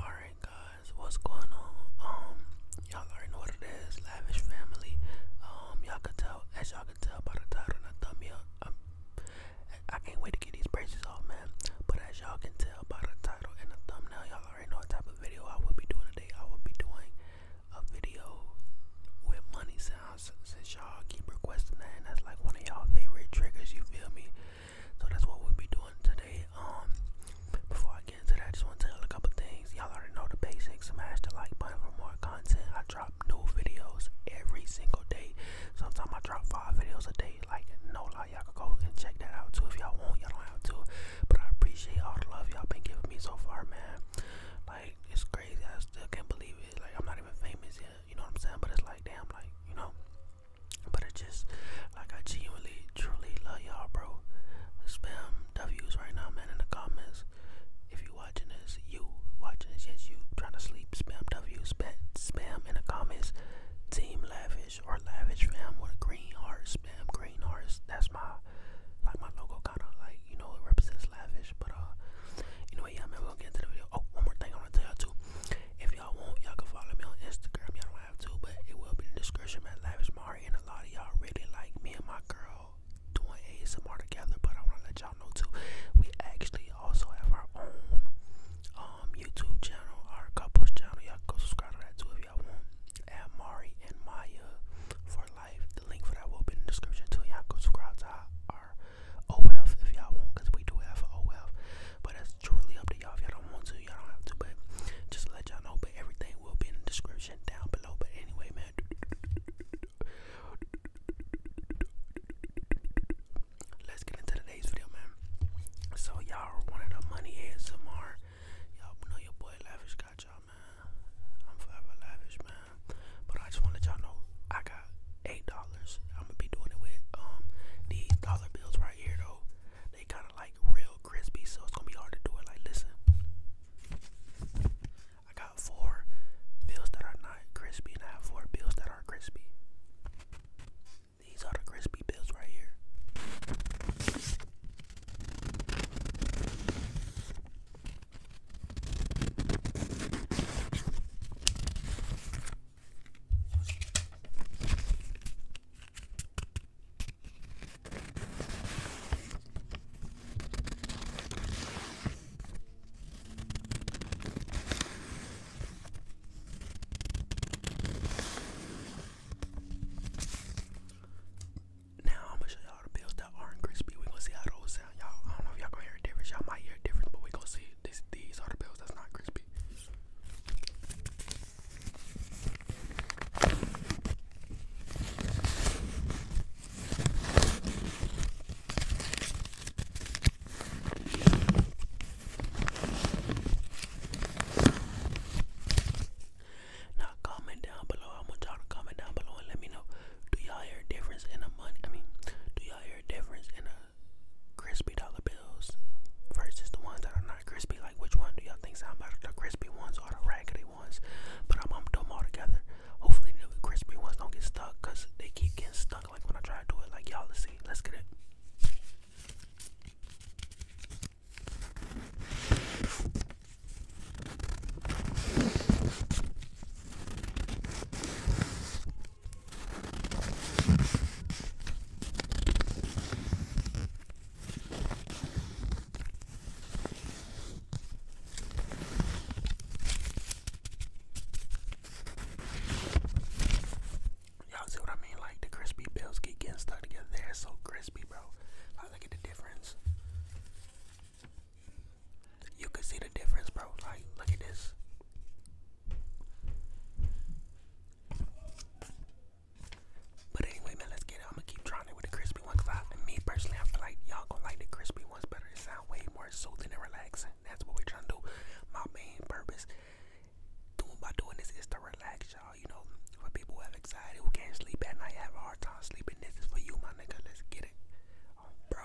Alright guys, what's going on? Um, y'all already know what it is, Lavish Family. Um, y'all can tell, as y'all can tell by the title and the thumbnail, I'm, um, I i can not wait to get these braces off, man. But as y'all can tell by the title and the thumbnail, y'all already know what type of video I will be doing today. I will be doing a video with money sounds since y'all keep requesting that, and that's like one of y'all favorite triggers, you feel me? So that's what we'll be doing today. Um, before I get into that, I just want to tell a couple things. Y'all already know the basics. Smash the like button for more content. I drop new videos every single day. Sometimes I drop five videos a day. Like no lie, y'all can go and check that out too if y'all want. Y'all don't have to, but I appreciate all the love y'all been giving me so far, man. Like it's crazy. I still can't believe it. Like I'm not even famous yet. You know what I'm saying? But it's like damn, like you know. But I just, like, I genuinely, truly love y'all, bro. Spam W's right now, man, in the comments. If you watching this, you watching this, yes, you trying to sleep, spam W, spam, spam in the comments. Team Lavish or Lavish Fam with a green heart, spam green hearts. That's my, like, my logo kind of, like, you know, it represents Lavish. But, uh, anyway, yeah, man, we're gonna get into the video. Oh, one more thing I want to tell you too. If y'all want, y'all can follow me on Instagram. Y'all don't have to, but it will be in the description at Lavish Mari. And a lot of y'all really like me and my girl doing more together, but I want to let y'all know too. We actually also have our own um YouTube channel, our couples channel. Y'all go subscribe to that too if y'all want. At Mari and Maya for life. The link for that will be in description too. Y'all go subscribe to our OF oh if y'all want, because we do have OF. Oh but that's truly up to y'all. If y'all don't want to, y'all don't have to. But just let y'all know. But everything will be in description down below. But anyway, man. Let's get into today's video, man. So y'all one the money ASMR. Y'all know your boy Lavish got y'all, man. I'm forever lavish, man. But I just want to let y'all know I got eight dollars. I'm gonna be doing it with um these dollar bills right here though. They kind of like real crispy, so it's gonna be hard to do it. Like, listen, I got four bills that are not crispy, and I have four bills that are crispy. These are the crispy bills right here. Now I'm gonna show y'all the bills that are crispy. We're gonna see how those sound y'all. I don't know if y'all gonna hear a difference. Y'all might hear a difference, but we gonna see. This, these are the bills that's not crispy. Now comment down below. I want y'all to comment down below and let me know. Do y'all hear a difference in the money? I mean, do y'all difference in a crispy dollar bills versus the ones that are not crispy. Like, which one do y'all think sound better, the crispy ones or the raggedy ones? But I'm gonna do them all together. Hopefully, the crispy ones don't get stuck because they keep getting stuck. Like when I try to do it, like y'all let's see, let's get it. Y'all see what I mean? Like the crispy bills get getting stuck together. They're so crispy, bro. I look at the difference. You can see the difference, bro. Like, look at this. But anyway, man, let's get it. I'm gonna keep trying with the crispy ones. I, me personally, I feel like y'all gonna like the crispy ones better. It sound way more soothing and relaxing. That's what we're trying to My main purpose doing by doing this is to relax y'all. You know, for people who have anxiety, who can't sleep at night, have a hard time sleeping. This is for you, my nigga. Let's get it, um, bro.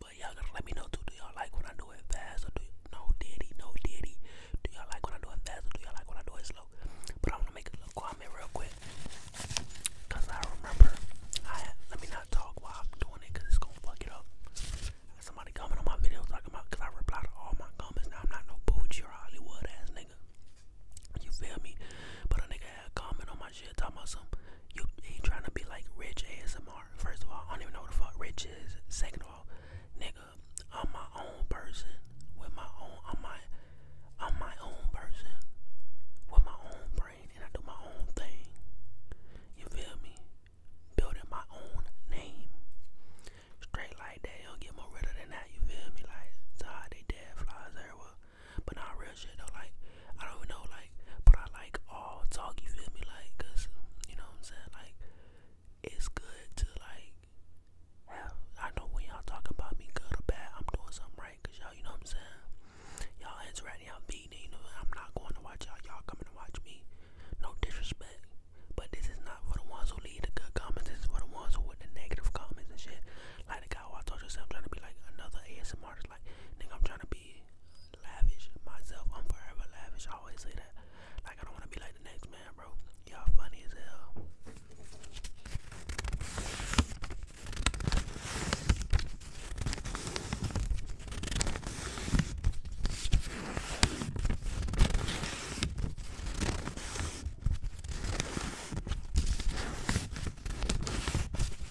But y'all gotta let me know too. Do y'all like when I do it fast or do you y no diddy, no diddy? Do y'all like when I do it fast or do y'all like when I do it slow? But I'm gonna make a little comment real quick. Cause I remember I let me not talk while I'm doing it cause it's gonna fuck it up. Somebody comment on my video talking about cause I reply to all my comments. Now I'm not no bougie or Hollywood ass nigga. You feel me? But a nigga had a comment on my shit talking about some you he trying to be like rich ASMR First of all, I don't even know what the fuck rich is. Second of all, nigga, I'm my own person. With my own I'm my I'm my own person. With my own brain and I do my own thing. You feel me? Building my own name. Straight like that, you don't get more realer than that, you feel me? Like, it's they dead flies everywhere. But not real like I don't even know, like, but I like all talk. You feel me, like, cause you know what I'm saying. Like it's good to like I know when y'all talking about me, good or bad, I'm doing something right, cause y'all, you know what I'm saying. Y'all interacting, y'all beating. You know, I'm not going to watch y'all. Y'all coming to watch me. No disrespect, but this is not for the ones who leave the good comments. This is for the ones who with the negative comments and shit. Like the guy who I told yourself I'm trying to be like another ASMR. Like, nigga, I'm trying to be lavish myself. I'm forever lavish. I always say that. Like I don't want to be like the next man, bro. Y'all funny as hell.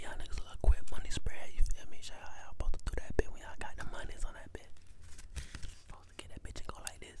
Y'all niggas look quick money spread, you feel me? Shout y'all supposed to do that bit when you got the monies on that bit. Supposed to get that bitch and go like this.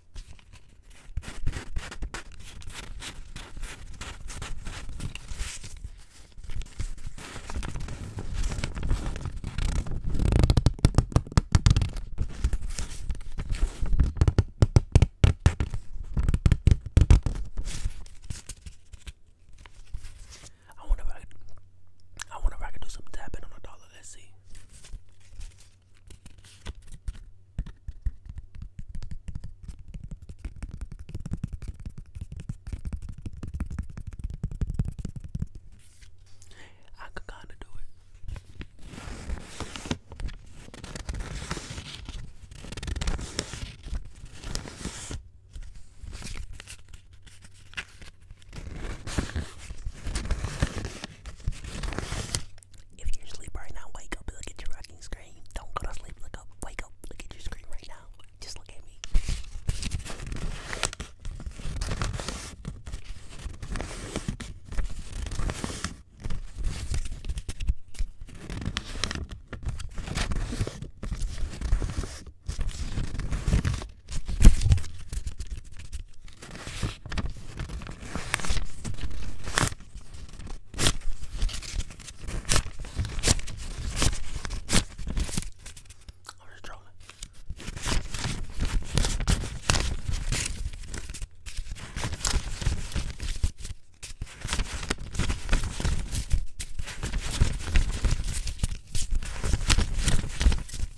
I wonder if I could, I wonder if I could do some tapping on a dollar. Let's see. I could kind of do it. If you're asleep right now, wake up look at your rocking screen. Don't go to sleep, look up, wake up, look at your screen right now. Just look at me. I'm just trolling.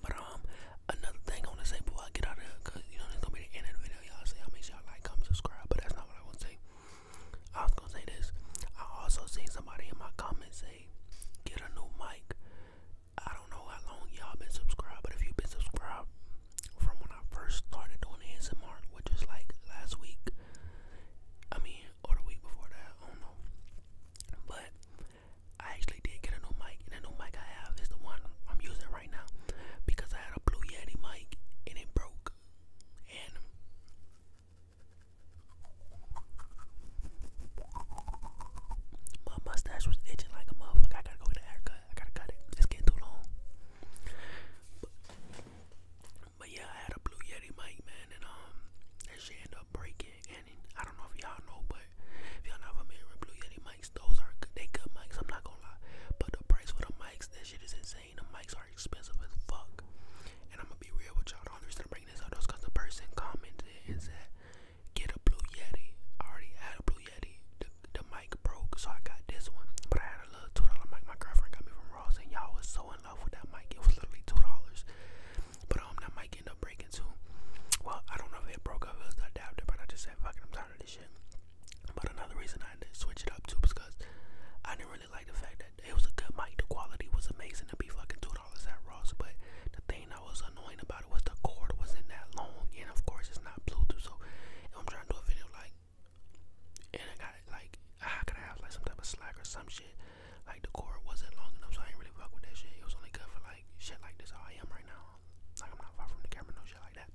But um, another thing I want to say before I get out of you know this gonna be the end of the video. Y'all say I make sure y'all like, comment, subscribe. But that's not what I want to say. I was gonna say this. I also seen somebody in my comments say, "Get a new mic." I don't know how long y'all been subscribed, but if you've been subscribed from when I first started doing ASMR, which is like last week, I mean, or the week before that, I don't know. But I actually did get a new mic, and the new mic I have is the one I'm using right now because I had a Blue Yeti mic and it broke. And my mustache was itching like a motherfucker. I gotta go get a haircut. I gotta cut it. It's getting too long. But, yeah, I had a Blue Yeti mic, man, and um, that shit ended up breaking. And I don't know if y'all know, but if y'all not familiar with Blue Yeti mics, those are they good mics. I'm not gonna lie, but the price for the mics, that shit is insane. The mics are expensive as fuck. And I'm gonna be real with y'all. The bring this up person commented and said, "Get a Blue Yeti." I already had a Blue Yeti. The, mic broke, so I got this one. But I had a little two dollar mic. My girlfriend got me from Ross, and y'all was so in love with that mic. It was literally two dollars. But um, that mic ended up breaking too. Well, I don't know if it broke up. It was the adapter, but I just said, "Fuck it, I'm tired of this shit." But another reason I had to switch it up too, because I didn't really like the fact that it was a good mic. The quality was amazing to be fucking two dollars at Ross, but the thing that was annoying about it was the cord wasn't that long, and of course it's not Bluetooth. So I'm trying to do a video like, and I got like, I could have like some type of slack or some shit. Like the cord wasn't long enough, so I ain't really fuck with that shit. It was only good for like shit like this. How I am right now. Like I'm not far from the camera, no shit like that.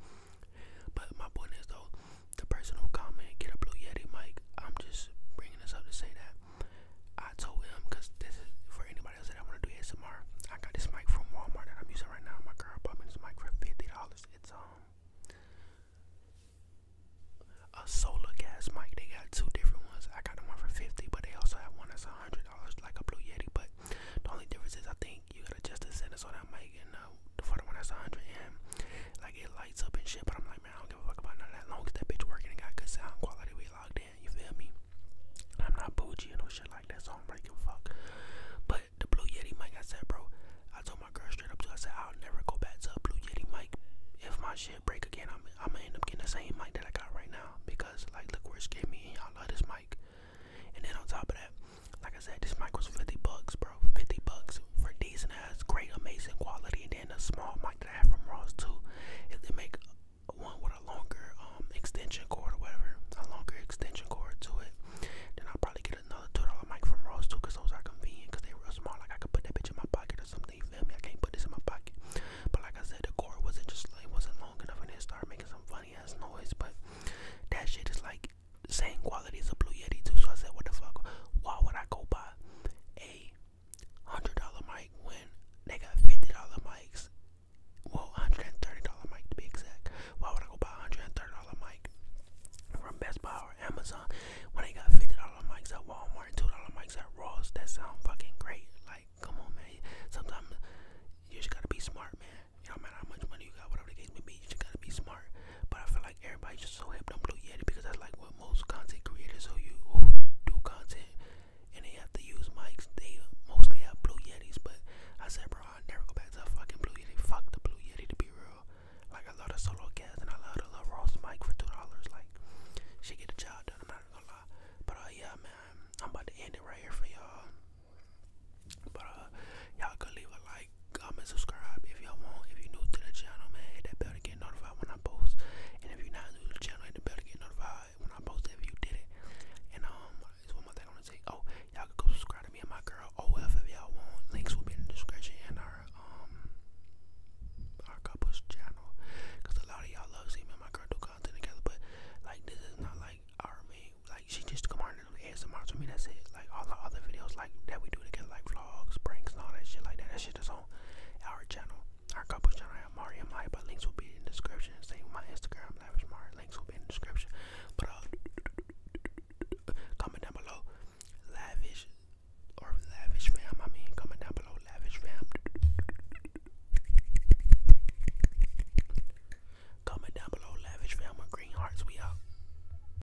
But my point is though, the personal comment get a Blue Yeti mic. I'm just bringing this up to say that I told him because this is for anybody else that I want to do ASMR. I got this mic from Walmart that I'm using right now. My girl bought me this mic for fifty dollars. It's um a solar gas mic. They got two different ones. I got the one for fifty, but they also have one that's a hundred dollars, like a Blue Yeti. But the only difference is I think you gotta adjust the settings on that mic, and uh, for the one that's a hundred, and like it lights up and shit. But I'm like, I don't give a fuck about none of that. Long that bitch working and got good sound quality, we logged in. You feel me? I'm not bougie and no shit like that, so I'm breaking fuck. But the Blue Yeti mic, I said, bro. I told my girl straight up to. I said, I'll never go back to a Blue Yeti mic. If my shit break again, I'm I'ma end up getting the same mic that I got right now because like look where it's getting me. And y'all love this mic. And then on top of that, like I said, this mic was fifty bucks, bro. Fifty bucks for decent has great, amazing quality, and then the small mic that I have from Ross too. If they make one with a longer um, extension cord or whatever, a longer extension cord to it, then I'll probably get another two dollar mic from Ross too, cause those are convenient, cause they real small. Like I could put that bitch in my pocket or something. You feel me? I can't put this in my pocket. But like I said, the cord wasn't just like wasn't long enough, and it started making some funny ass noise. But that shit is like same quality as a Blue Yeti too. So I said, what the fuck? Why would I go buy a hundred dollar mic when they got fifty dollar mics. Well, hundred and thirty dollar mic to be exact. Why would I go buy a hundred and thirty dollar mic from Best Buy or Amazon when they got fifty dollar mics at Walmart, two dollar mics at Ross? That sound fucking great. Like, come on, man. Sometimes you just gotta be smart, man. You know, no matter how much money you got, whatever the case may be, you just gotta be smart. But I feel like everybody's just so hyped on Blue Yeti because that's like what most content creators who you who do content and they have to use mics. They mostly have Blue Yetis, but I said, bro, I never go back to a fucking Blue Yeti. Fuck the Blue Yeti to be real. Like I love the solo cast and I love the little Ross mic for two dollars. Like she get the job done. I'm not gonna lie. But uh, yeah, man, I'm about to end it right here for y'all. But uh, y'all could leave a like comment, subscribe if y'all want. If you're new to the channel, man, hit that bell to get notified when I post. And if you're not new to the channel, hit the bell to get notified when I post if you did it. And um, there's one more thing I want to say. Oh, y'all can go subscribe to me and my girl OF if y'all want. Links will be in the description and our um our couple's channel. Cause a lot of y'all love seeing me and my girl do content together, but like this is not like our main. Like she just come on and do ASMR to me. That's it. Like all the other videos videos like that we do together, like vlogs, pranks, and all that shit like that. That shit is on our channel, our couple channel, Mari and Maya. But links will be in description. Same with my Instagram, Lavish Mari. Links will be in description. But uh, comment down below, Lavish or Lavish Fam. I mean, comment down below, Lavish Fam. Comment down below, Lavish Fam Green Hearts. We out.